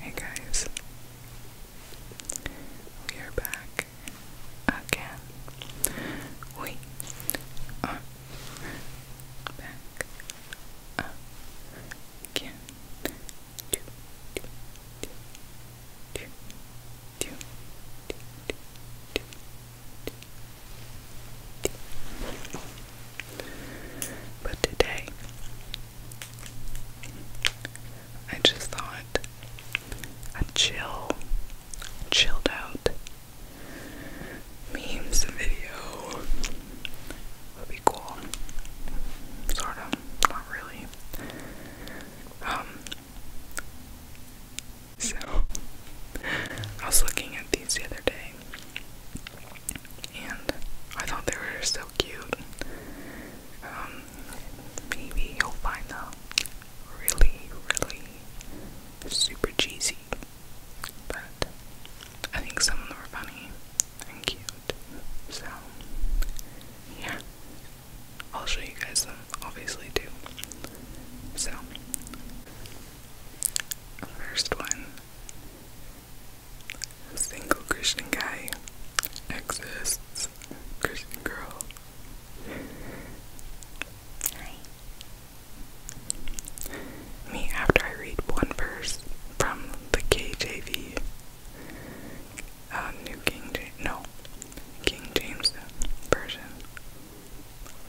Hey guys, we are back again. We are back again. Do, do, do, do, do, do, do, do, do. But today I just thought a chill, chilled out memes video would be cool. Sort of, not really. Um, so I was looking at these the other day, and I thought they were so cute. Um, maybe you'll find them really, really super cheesy, but I think some of them are funny and cute. So, yeah, I'll show you guys obviously, too. So, first one Single Christian guy exists. Christian girl. Hi. Me after I read one verse from the KJV. Uh, New King James. No. King James version.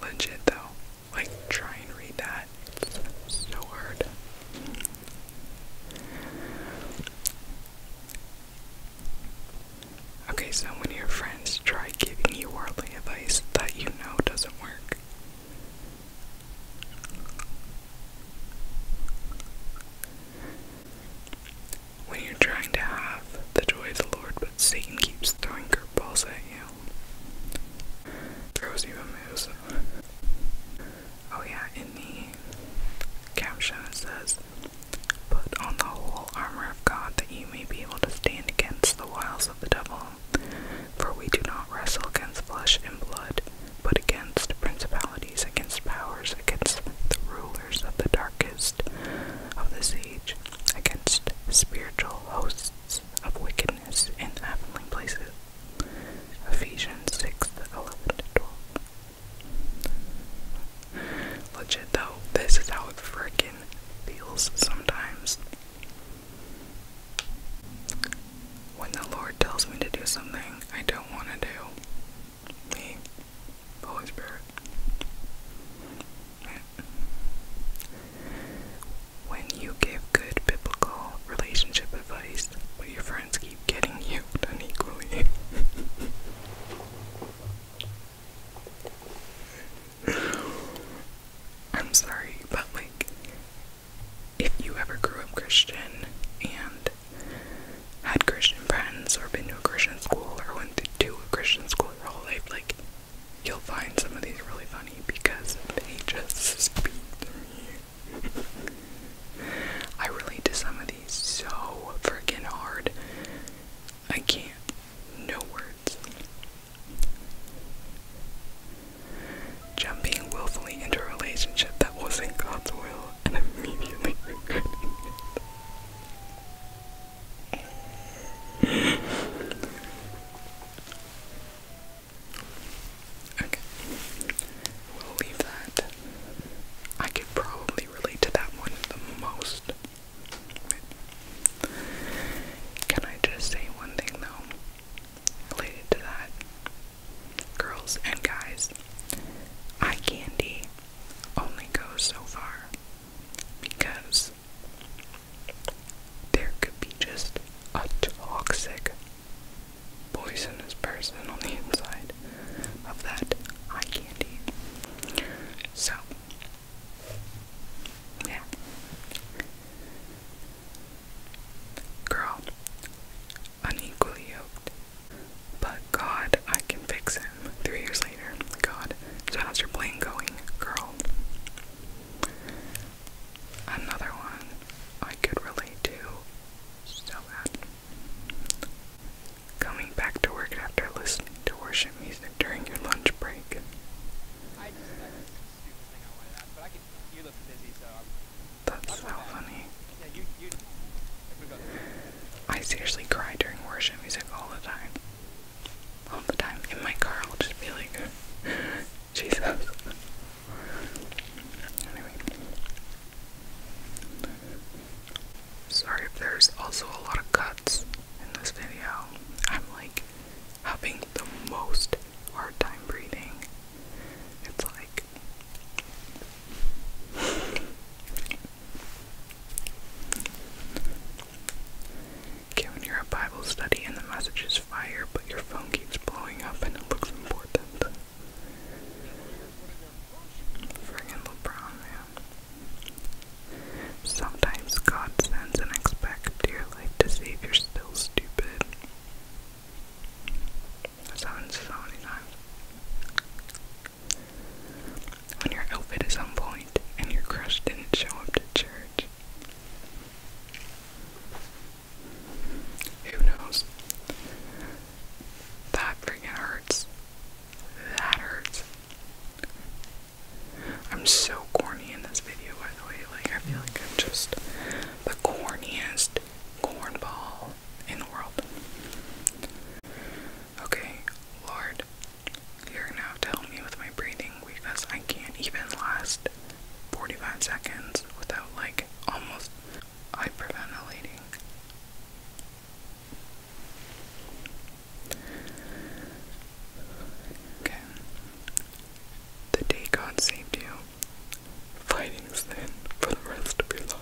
Legit though like try and read that. It's so hard. Okay, so when your friends try giving you worldly advice that you know doesn't work. When you're trying to have the joy of the Lord, but Satan keeps throwing curveballs at you. Throws you a moose. Oh yeah, in the caption it says, Put on the whole armor of God that you may be able to stand against the wiles of the devil. For we do not wrestle against flesh and blood, but against principalities, against powers, against the rulers of the darkest of this age, against spiritual hosts of wickedness in heavenly places. Ephesians 6 11 12. Legit though, this is how it freaking feels sometimes. When the Lord tells me to do something I don't want to do, me, Holy Spirit. When you give good biblical relationship advice, but your friends keep getting you unequally. I'm sorry, but like, if you ever grew up Christian and had Christian friends or been to a Christian school or went to a Christian school your whole life, like, you'll find some of these really funny because they just speak to me. I relate to some of these so freaking hard. I can't. No words. Jumping willfully into a relationship that wasn't God's will and immediately regretting it. Okay. We'll leave that. I could probably relate to that one the most. Can I just say one thing though? Related to that. Girls and guys, eye candy only goes so far because there could be just a toxic, poisonous person on the inside of that eye candy. So, yeah. Girl, unequally yoked. But God, I can fix him. Three years later, God, so how's your plane going, girl? Another one I could relate to so bad. Coming back to work after listening to worship music during your lunch break. That's so funny. I seriously cry during worship music all the time all the time. In my car, I'll just be like, Jesus. Anyway. Sorry if there's also a lot of cuts in this video. I'm like having the most hard time breathing. It's like. Kevin, you're a Bible study and the message is fire, but your phone keeps blowing up and it looks important. Friggin' LeBron, man. Sometimes God sends an expect your life to see if you're still stupid. That's happened so many outfit is on point and your crush didn't show up to church. Who knows? That freaking hurts. That hurts. I'm so corny in this video, by the way. Like, I feel like I'm just the corniest cornball in the world. Okay, Lord, you're gonna have to help me with my breathing because I can't even last 45 seconds without like almost hyperventilating. Okay. The day God saved you, fighting sin for the rest of your life.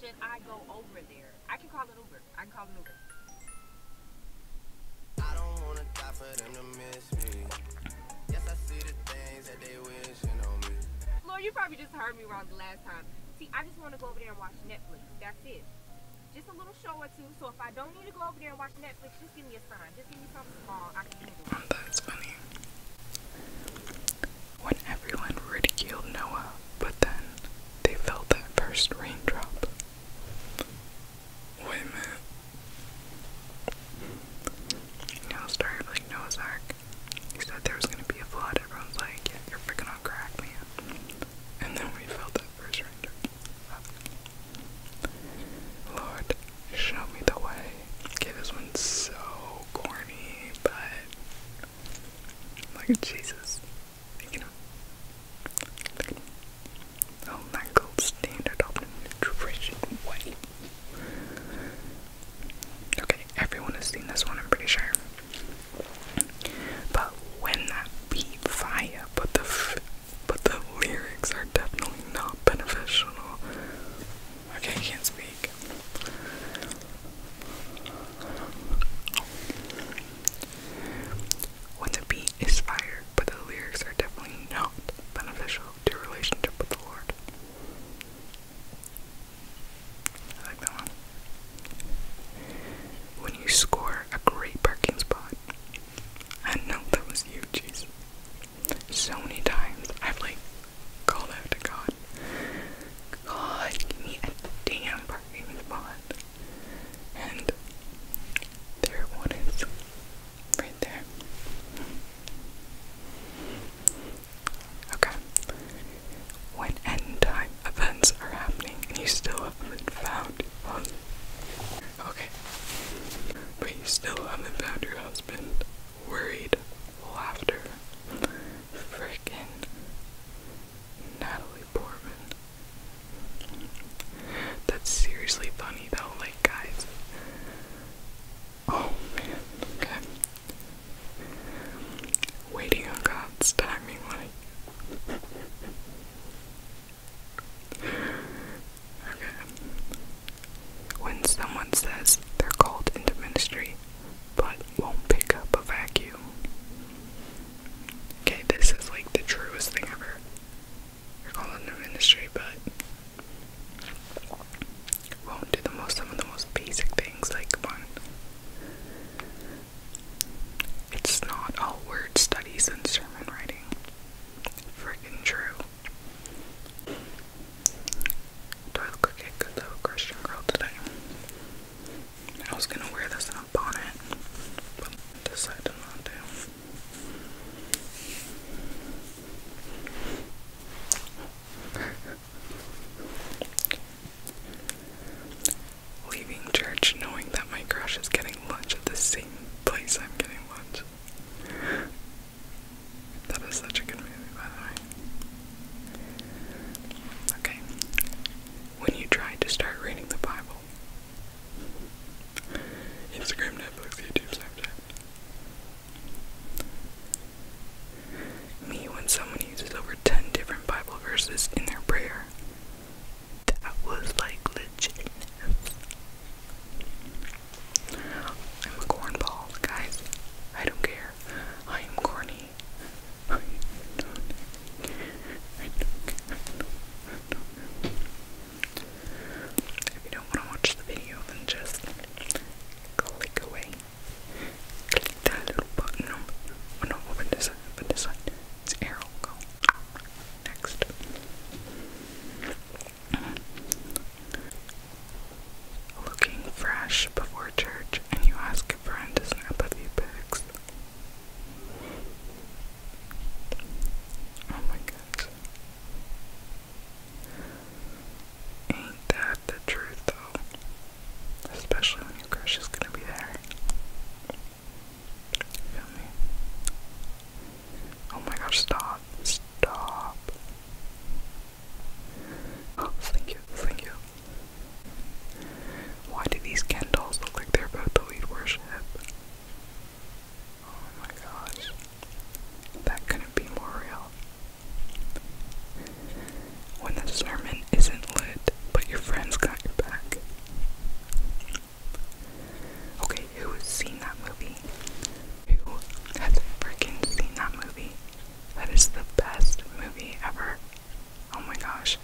should I go over there? I can call an Uber. I can call an Uber. them to Lord, you probably just heard me wrong the last time. See, I just want to go over there and watch Netflix. That's it. Just a little show or two. So if I don't need to go over there and watch Netflix, just give me a sign. Just give me something small. I can handle. That's funny. When everyone ridiculed Noah, but then they felt that first raindrop. Wait a minute. Now started like Noah's Ark. He said there was gonna be a flood, everyone's like, yeah, you're freaking on crack, man. And then we felt that first raindrop. Lord, show me the way. Okay, this one's so corny, but like Jesus. Look at Oh, my gold standard of nutrition way. Okay, everyone has seen this one, I'm pretty sure. But when that beat fire, but the, but the lyrics are definitely not beneficial. Okay, I can't speak. When the beat is fire, but the lyrics are definitely not beneficial to relationship with the Lord. I like that one. When you score a great parking spot. I know that was you, Jesus. So many times I've like call out to God. God, give me a damn parking And there it one is. Right there. Okay. When end time events are happening and you still haven't found one. Okay. But you still haven't found your husband worried laughter. Frickin' Natalie Portman. That's seriously funny though, like guys. Oh man, okay. Waiting on God's timing, like. Okay. When someone says they're called into ministry, but won't pick up a vacuum. Okay, this is like the truest thing ever. You're calling new industry, but won't do the most some of the most basic things. Like, come It's not all word studies and sermon writing. Freaking true. Do I look like good little Christian girl today? I was gonna wear this in a bonnet, but decided not to. Leaving church knowing that my crush is getting lunch at the same place I'm getting lunch. That is such a good movie, by the way. Okay. When you tried to start reading the Bible. Instagram, Netflix, YouTube, Snapchat. Me when someone uses over 10 different Bible verses in their prayer. That was like legit. I'm a cornball, guys. I don't care. I am corny. If you don't want to watch the video, then just click away. Click that little button. No, open this side. Open this side. It's arrow. Go. Next. Looking fresh before church, and you ask a friend to snap a few pics. Oh my gosh. Ain't that the truth though? Especially when your crush is gonna be there. Feel me? Oh my gosh, stop. Stop thank you, thank you. Why do these Ken dolls look like they're about to lead worship? Oh my gosh. That couldn't be more real. When the sermon isn't lit, but your friends got your back. Okay, who's seen that movie? Who has freaking seen that movie? That is the best movie ever. Oh my gosh.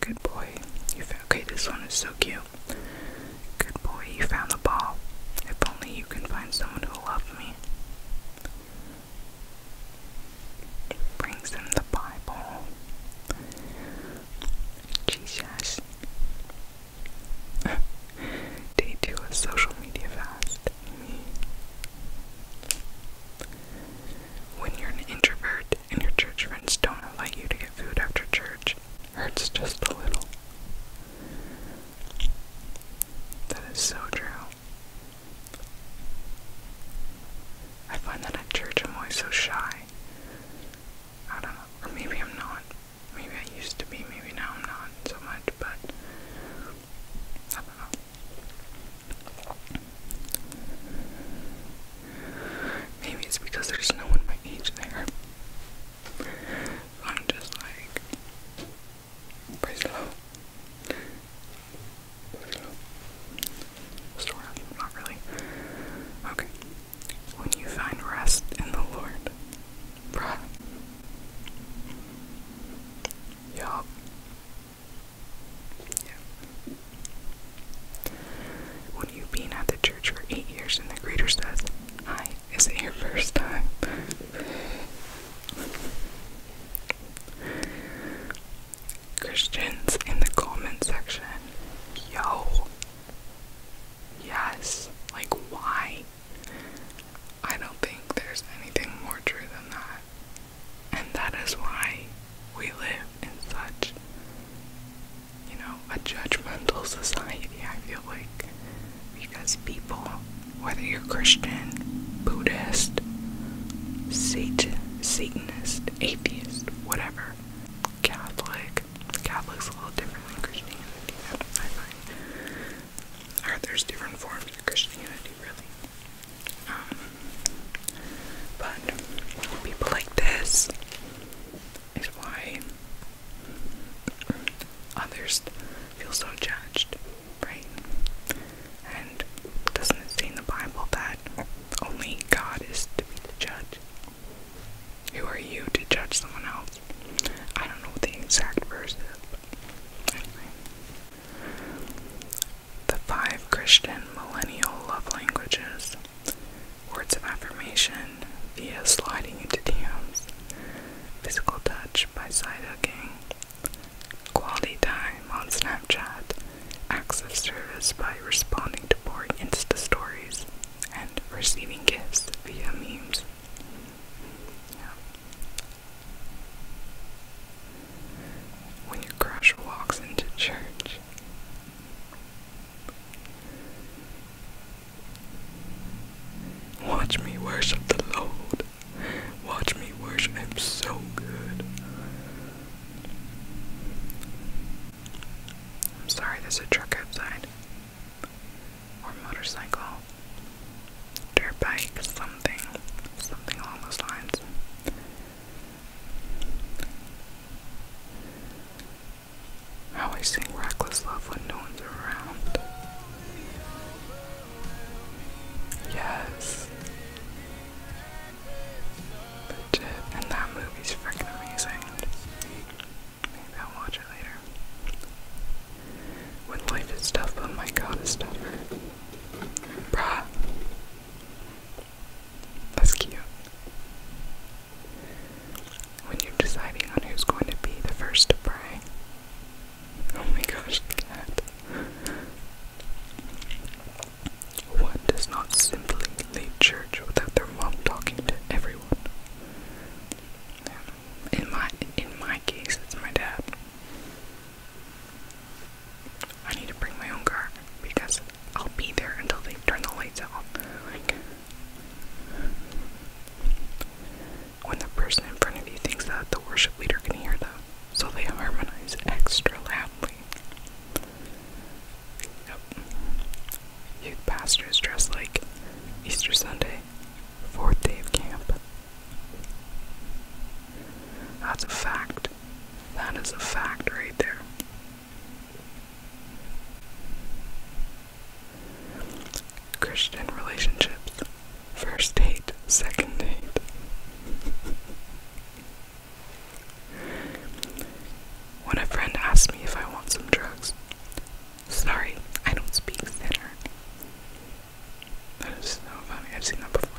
Good boy. You found, okay, this one is so cute. Good boy, you found the ball. If only you can find someone who loves me. It brings him the Bible. Jesus. Day two of social media fast. When you're an introvert and your church friends don't allow you to get food after church, hurts just a little. That is so true. I find that at church I'm always so shy. I don't know, or maybe I'm not. Maybe I used to be, maybe now I'm not so much, but I don't know. Maybe it's because there's no one my age there. I'm just like, praise the Lord. Sort not really. Okay when you find rest in the Lord. Bruh. When you've been at the church for eight years and the greeter says, Hi, is it your first time? Christians in the comment section, yo, Yes. Like, why? I don't think there's anything more true than that. And that is why we live in such, you know, a judgmental society, I feel like. Because people, whether you're Christian, Buddhist, Satan, Satanist, atheist, whatever, are Catholic. Catholic's a little different than Christianity, I find. Or there's different forms of Christianity, really. Um, but people like this is why others feel so judged, right? And doesn't it say in the Bible that only God is to be the judge. Who are you to judge someone else? I don't know the exact verse is, anyway. The five Christian millennial love languages. Words of affirmation via sliding into DMs. Physical touch by side hugging. Quality time on Snapchat acts of service by responding to boring Insta stories, and receiving gifts via memes. When your crush walks into church. Watch me worship the Lord. Watch me worship Him so good. I'm sorry, there's a truck outside. Or motorcycle. Dirt bike, something. Something along those lines. I always sing reckless love when no one's around. Yes. Legit, and that movie's freaking amazing. I'll watch it later. When life is tough, oh my god, it's tougher. Bruh. That's cute. When you're deciding on who's going to be the first to pray. Oh my gosh, cat. One does not simply leave church without their mom talking to everyone. In my in my case, it's my dad. I need to bring my own car because I'll be there until they turn the lights off. when the person in front of you thinks that the worship leader can hear them, so they harmonize extra loudly you Youth pastors dress like Easter Sunday, fourth day of camp. That's a fact. That is a fact right there. Christian relationships. First date, second date. When a friend asked me if I want some drugs, sorry, I don't speak thinner. That is so funny, I've seen that before.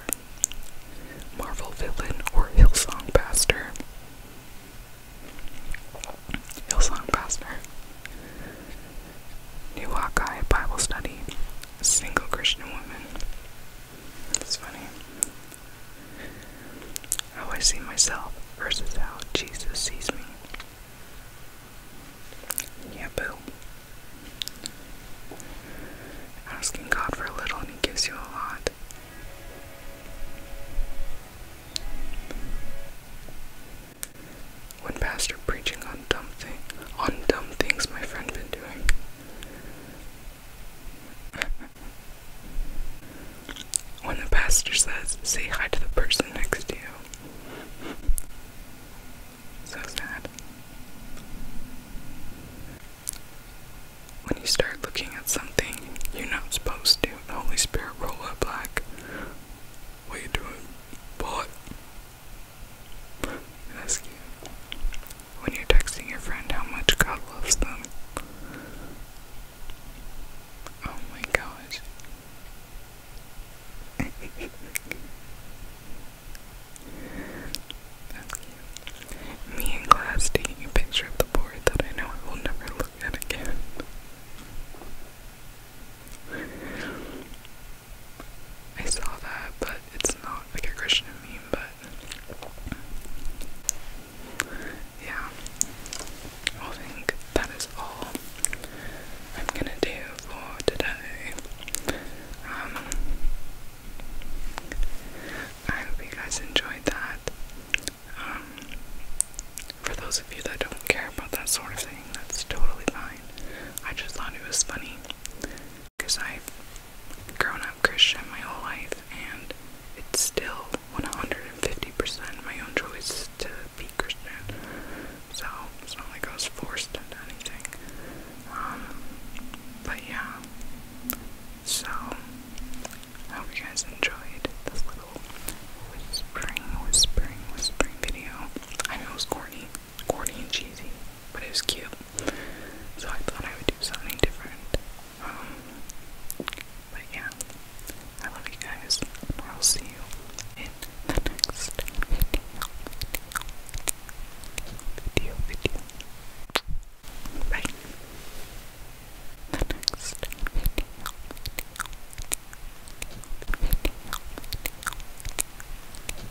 Marvel villain or Hillsong pastor? Hillsong pastor. New Hawkeye Bible study. Single Christian woman. It's funny how I see myself versus how Jesus sees me. Yeah, boo. Asking God for a little and He gives you a lot. When pastor preaching on dumb thing on dumb things my friend been doing when the pastor says, say hi to the person next to you. So sad. When you start looking at something you're not supposed to, the Holy Spirit roll up like, what are you doing? What? That's cute. When you're texting your friend how much God loves them. Oh my gosh. That's cute. Me in class taking a picture of the board that I know I will never look at again. I saw that, but it's not like a Christian meme, but yeah, I think that is all I'm gonna do for today. Um, I hope you guys enjoyed that. Um, for those of you that don't care about that sort of thing, that's totally fine. I just thought it was funny because I grown up Christian my whole life, and it's still 150% my own choice to be Christian. So it's not like I was forced into anything. Um, but yeah. So I hope you guys enjoyed this little whispering, whispering, whispering video. I know it was corny, corny and cheesy, but it was cute. So I thought I would do something different. Um, but yeah, I love you guys. I'll see you in next video. Video, Bye. next video, video.